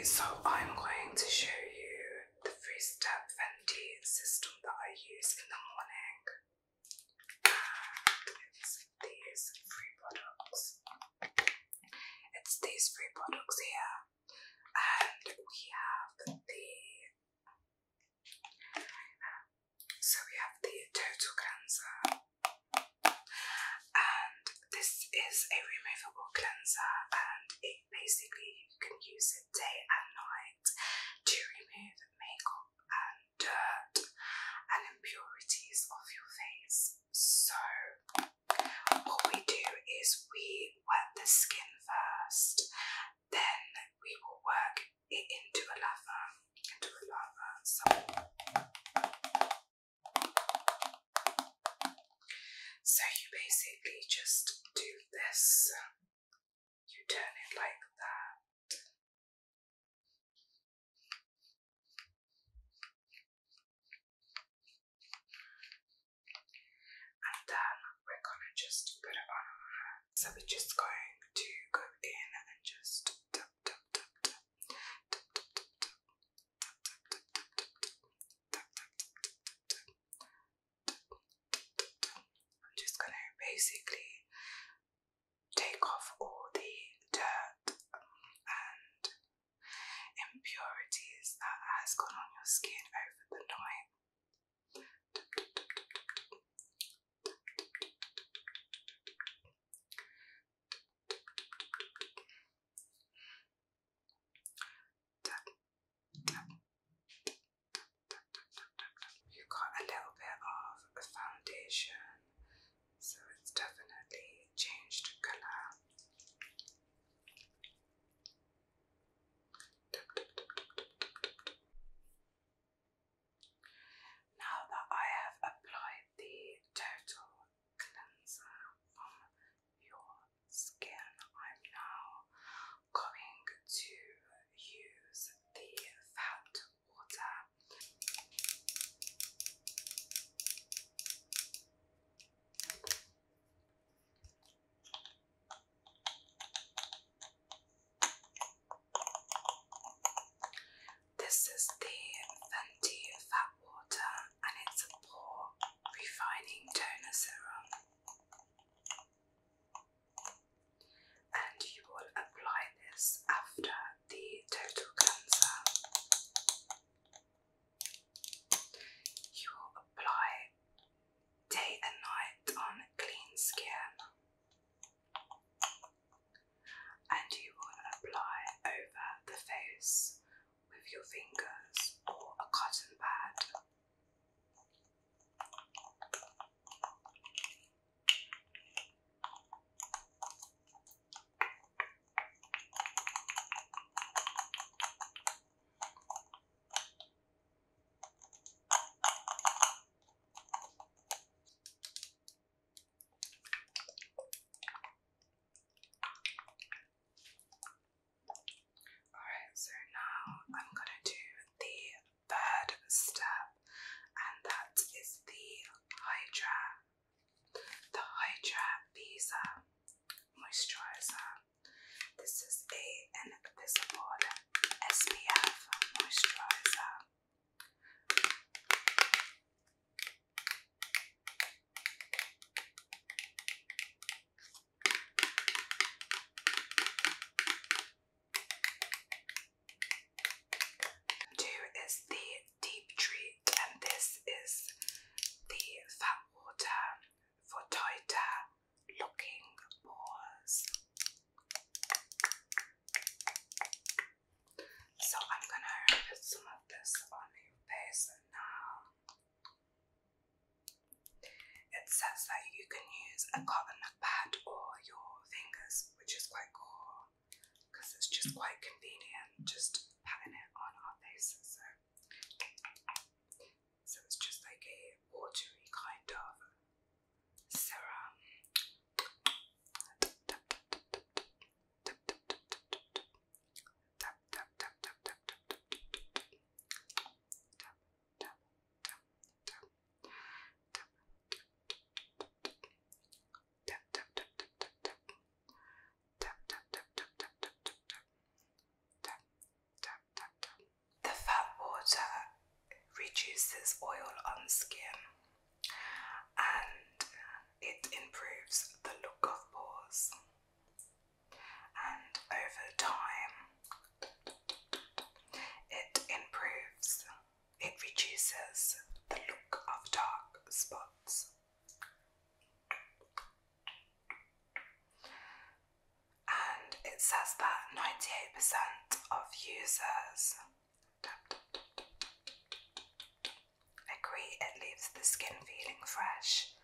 So I'm going to show you the three-step Fenty system that I use in the morning. it's these three products. It's these three products here. And we have the so we have the total cleanser and this is a removable cleanser and it basically you can use it day and night to remove makeup and dirt and impurities off your face. So what we do is we wet the skin first, then we will work it into a lava, so you basically just do this, you turn it like that. And then we're gonna just put it on So we're just going to go in and just I'm just going to basically take off all the dirt and impurities that has gone on your skin over the night. You got a little bit of foundation, so it's definitely changed colour. Now that I have applied the total cleanser from your skin. I'm now going to use the fat water. This is the Fenty Fat Water and it's a pore refining toner serum. And you will apply this after the total cleanser. You will apply day and night on clean skin. And you will apply over the face with your fingers or a cotton pad. Alright, so now I'm going to do the third step, and that is the Hydra, the Hydra Visa Moisturizer. This is a Invisible SPF Moisturizer. Two is the deep treat, and this is the fat water for tighter looking pores. So I'm gonna put some of this on your face now. It says that you can use a cotton pad or your fingers, which is quite cool because it's just quite convenient just patting it on our faces. So, so it's just like a watery kind of serum the fat water reduces oil on skin and it improves the look of pores and over time it improves, it reduces the look of dark spots. And it says that 98% of users agree it leaves the skin feeling fresh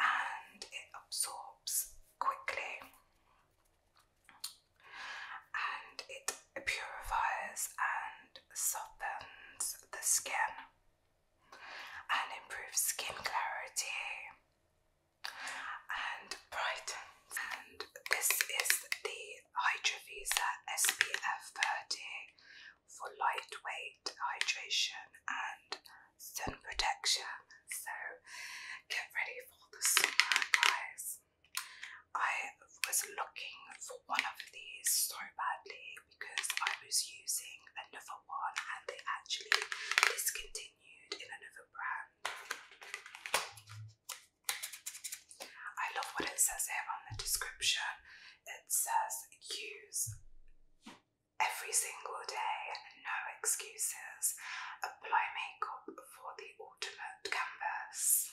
and it absorbs quickly and it purifies and softens the skin and improves skin clarity and brightens and this is the Hydrovisa SPF 30 for lightweight hydration and sun protection. So get ready for the summer, guys. I was looking for one of these so badly because I was using another one and they actually discontinued in another brand. I love what it says here on the description. It says use every single day, no excuses. Apply makeup for the ultimate canvas.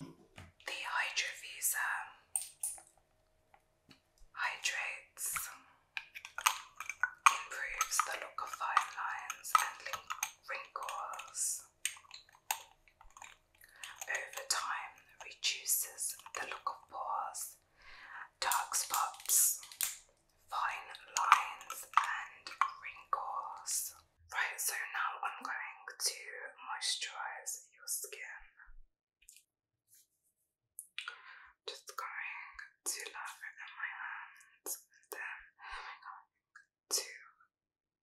The Hydrovisa hydrates, improves the look of fine lines and wrinkles. Over time, reduces the look of pores, dark spots, fine lines, and wrinkles. Right, so now I'm going to moisturise your skin. Just going to love it in my hands and then I'm going to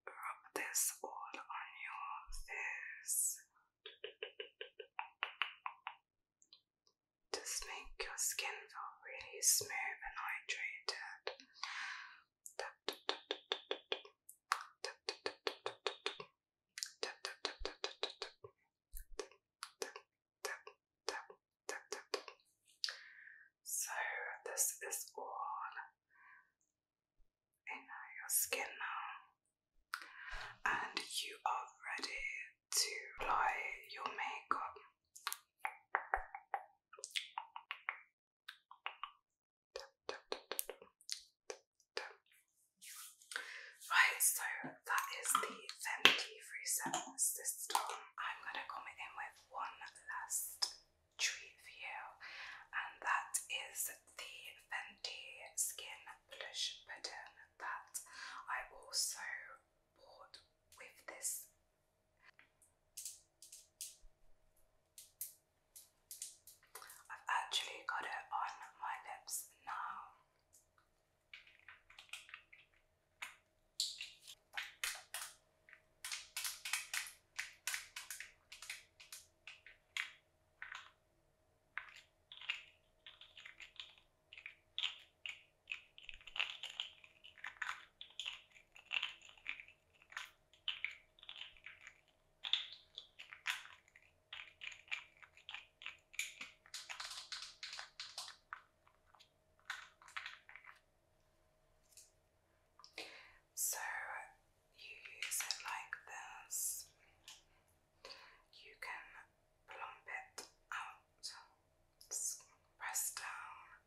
rub this all on your face. Just make your skin feel really smooth and hydrated. So this is all in your skin now, and you are ready to apply your makeup. Right, so that is the Fenty Freeset system. I'm going to come in with one last treat for you, and that is the Fenty Skin Blush Pattern that I also bought with this. I've actually got it on my lips now. So you use it like this. You can plump it out, press down,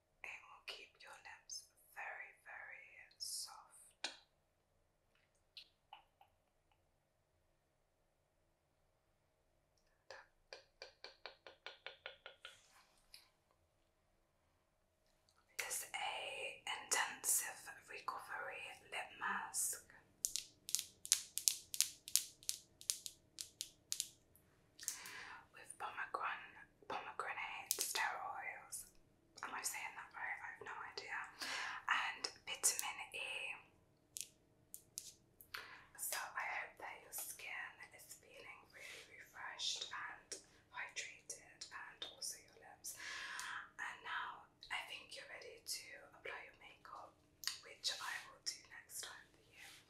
it will keep your lips very, very soft. This a intensive recovery lip mask with pomegranate, pomegranate sterols. Am I saying that right? I have no idea. And vitamin E. So I hope that your skin is feeling really refreshed and hydrated, and also your lips. And now I think you're ready to apply your makeup, which I will do next time for you.